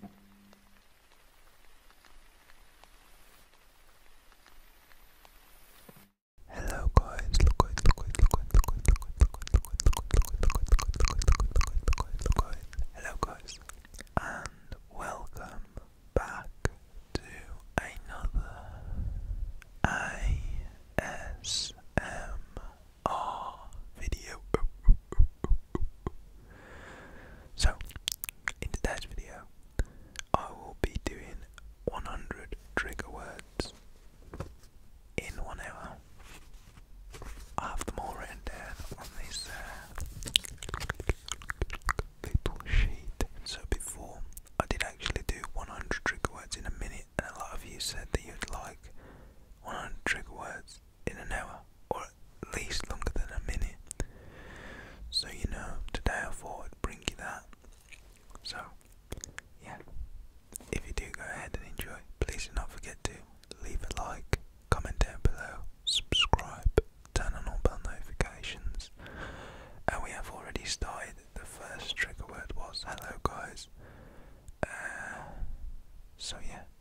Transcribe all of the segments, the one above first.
Hello guys, look guys, look guys, look guys, look guys, look guys, look guys, look guys, look guys, Hello guys, and welcome back to another ASMR video. So, in today's video, I will be doing 100 trigger words in one hour. I have them on this uh, little sheet. So, before I did actually do 100 trigger words in a minute, and a lot of you said that you'd like 100 trigger words in an hour or at least longer than a minute. So, you know, today I thought i bring you that. So, yeah. If you do go ahead and enjoy, please do not forget to leave a like, comment down below, subscribe, turn on all bell notifications. And we have already started. The first trigger word was hello, guys. Uh, so, yeah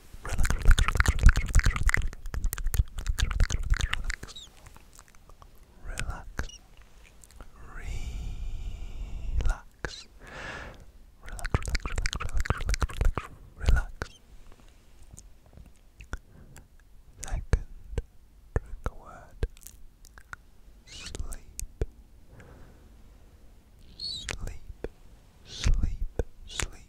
relax, relax, relax, relax, relax, Second word sleep, sleep, sleep, sleep,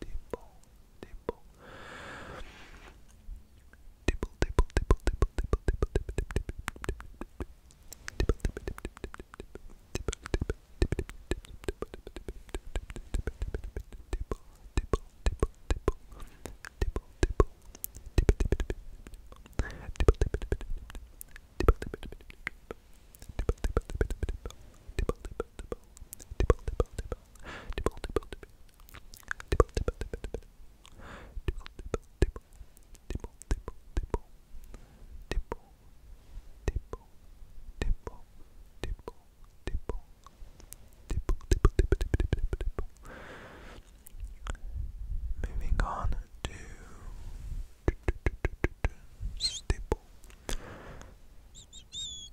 Dibble, dibble. Dibble, dibble, dibble, dibble, dibble, dibble, dibble, dibble, Dibble, dibble, dibble, Dibble, dibble, dibble. Dibble, dibble, dibble, dibble. Dibble, dibble, dibble. Dibble, dibble, dibble. Dibble, dibble, dibble. Dibble, dibble. Dibble, dibble, dibble, dibble, dibble, dibble. Moving on to stipple, stipple,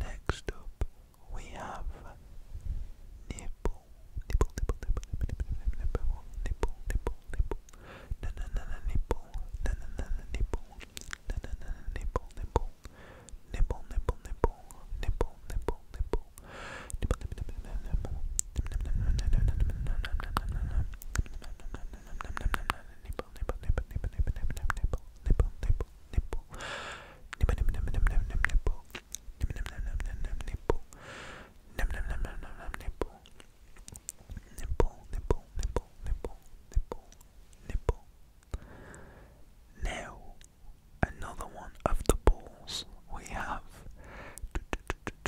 Next we have nipple, nipple, nipple, nipple, nipple, nipple, nipple, nipple, na na na na nipple, na na na na nipple, na na na na nipple, nipple, nipple, nipple, nipple, nipple, nipple, nipple, nipple, now, another one of the balls we have.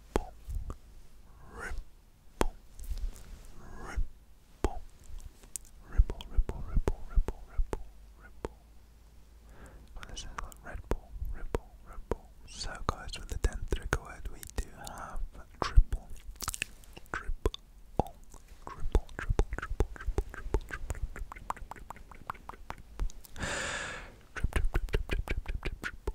ripple, ripple, ripple, ripple, ripple, ripple, ripple, this is like Red ripple, ripple. So, guys, with the tenth trigger word, we do have triple, triple, triple, triple, triple, triple, triple, triple, triple, triple, triple, triple, triple, triple, triple, triple, triple,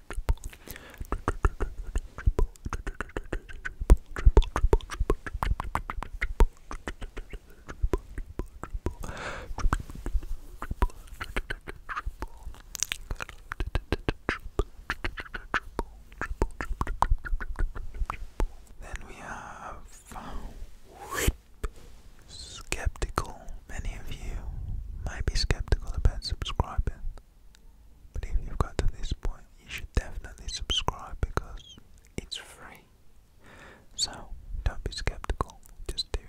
Then we have Skeptical many of you might be skeptical about subscribing, but if you've got to this point, you should definitely subscribe because it's free. So don't be skeptical, just do it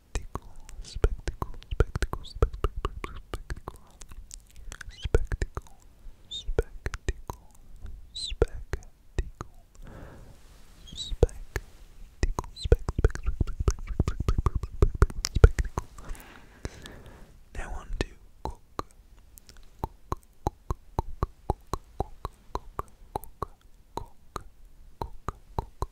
spectacle, spectacle, spectacle, spectacle, spectacle, spectacle, spectacle, spectacle, spectacle, spectacle, spectacle. Now on to cook. Cook, cook, cook, cook, cook, cook, cook, cook, cook, cook, cook,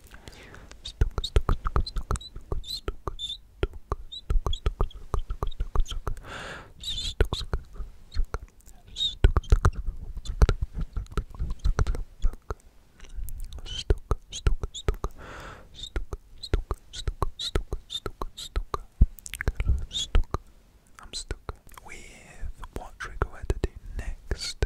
I'm stuck with what trigger we're to do next.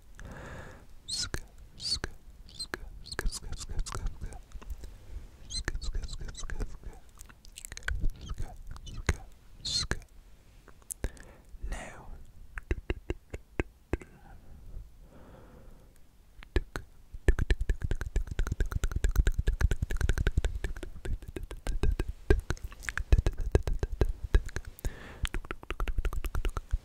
sk sk sk sk sk sk sk sk sk sk sk sk sk now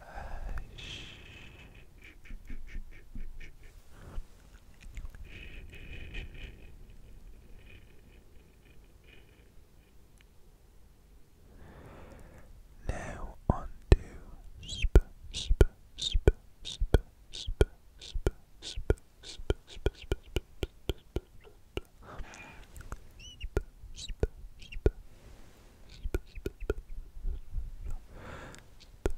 Uh, now on to sp sp sp sp sp sp sp sp sp sp sp sp sp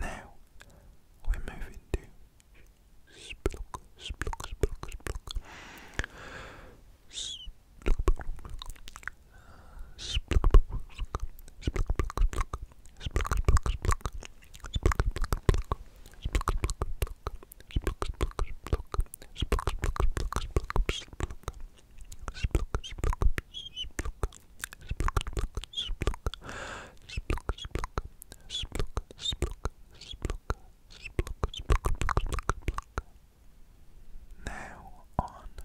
Now we're moving to splook, splook, splook, splook. Splook, splook, splook, splook, splook, splook, now on to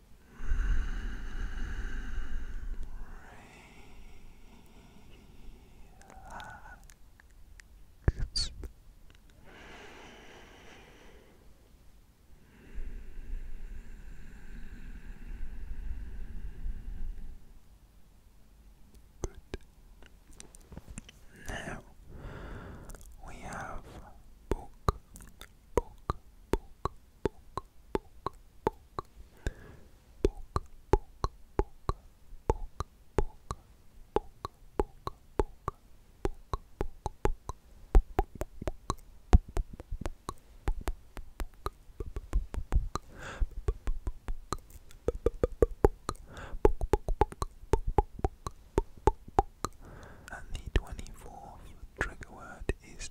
Relaxed. Good. Now we have book, book, book, poke, poke, the twenty fourth trigger word is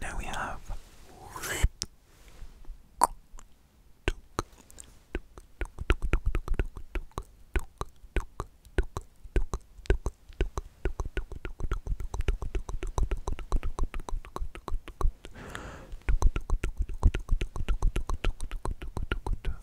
Now we have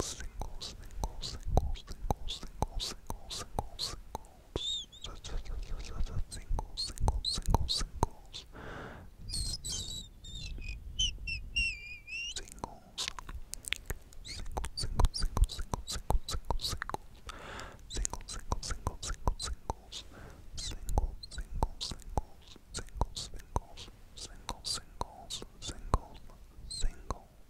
singles, singles, singles, singles, singles, singles, singles, singles, singles, singles, singles. Singles, singles, singles, singles, singles, singles, singles, singles, singles, singles, singles, singles, singles, singles, singles, singles, singles, singles, singles, singles,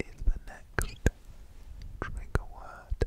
is the next trigger word.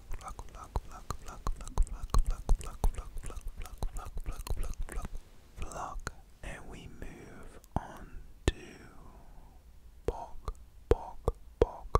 block and we move on to bog bog bog bog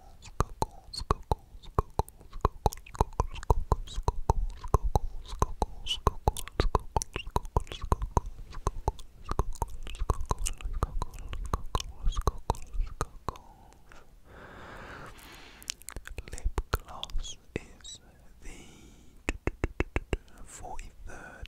Lip gloss is the forty third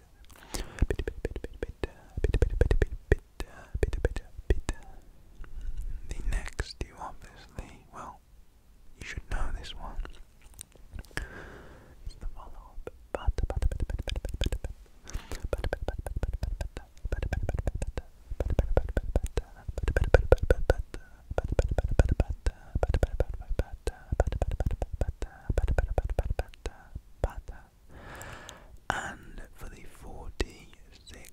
The next, you obviously, well, you should know this one. It's the follow up. But and for the forty sixth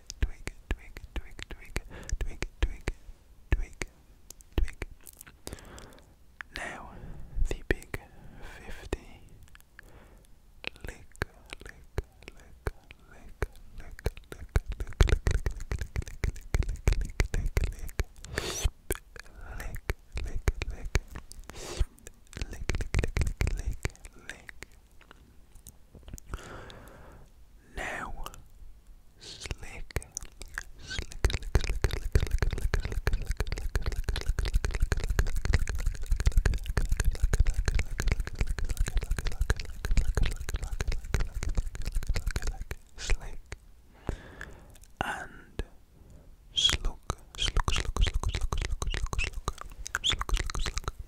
twig, twig, twig, twig, twig, twig, twig, twig. Now the big fifty. Lick, lick, lick, lick, lick, lick, lick, lick, lick, lick, lick, lick, lick, lick, lick. Lick, lick, lick, lick, lick, lick, lick, lick, now, slick, slick, slick, slick, slick, slick, slick, slick, slick, and slug, slug, slug, slug, slug, slug, slug, slug, slug, slug, slug,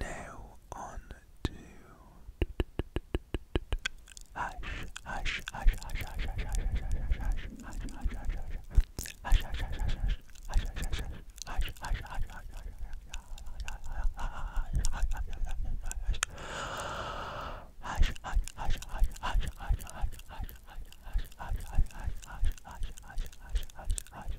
Now on to hush, hush, hush, hush, hush, hush, hush, hush, hush, hush, hush, hush, hush, hush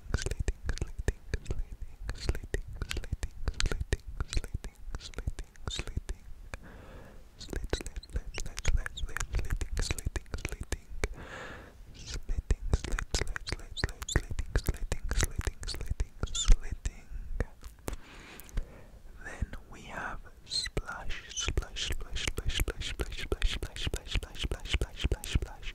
slating, slating, slating, slating, slating, slating, slating, slating, slit, slit, slit, slit, slit, slating, slating, slating, slating, slit, slit, slit, Then we have splash, splash, splash, splash, splash, splash, splash, splash, splash, splash, splash, splash, splash.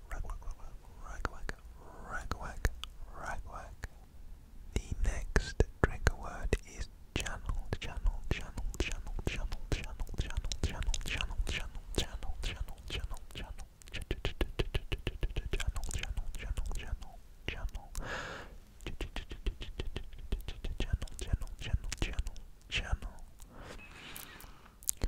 ragwag, ragwag, ragwag, ragwag. The next trigger word is channel, channel, channel, channel, channel, channel, channel, channel, channel, channel, channel, channel, channel, channel. Channel, channel, channel, channel, channel. Channel, channel, channel, channel, channel.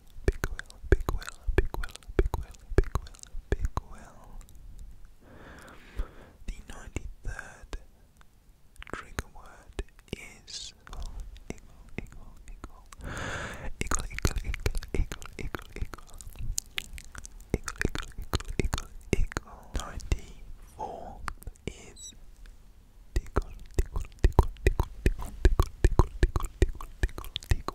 Big Will, Big Will, Big Will, Big Will, Big Will, Big Will. The ninety-third trigger word is equal, equal, equal, equal, equal, equal, equal, equal, equal, equal, equal, Ninety-four is tickle, tickle, tickle, tickle, tickle, tickle, tickle, tickle, tickle, tickle,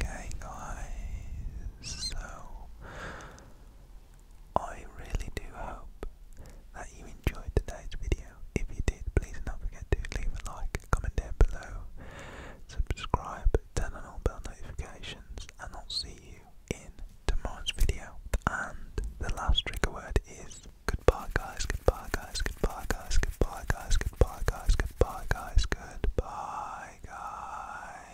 Okay, guys, so I really do hope that you enjoyed today's video. If you did, please don't forget to leave a like, comment down below, subscribe, turn on all bell notifications, and I'll see you in tomorrow's video. And the last trigger word is goodbye, guys, goodbye, guys, goodbye, guys, goodbye, guys, goodbye, guys, goodbye, guys, goodbye, guys.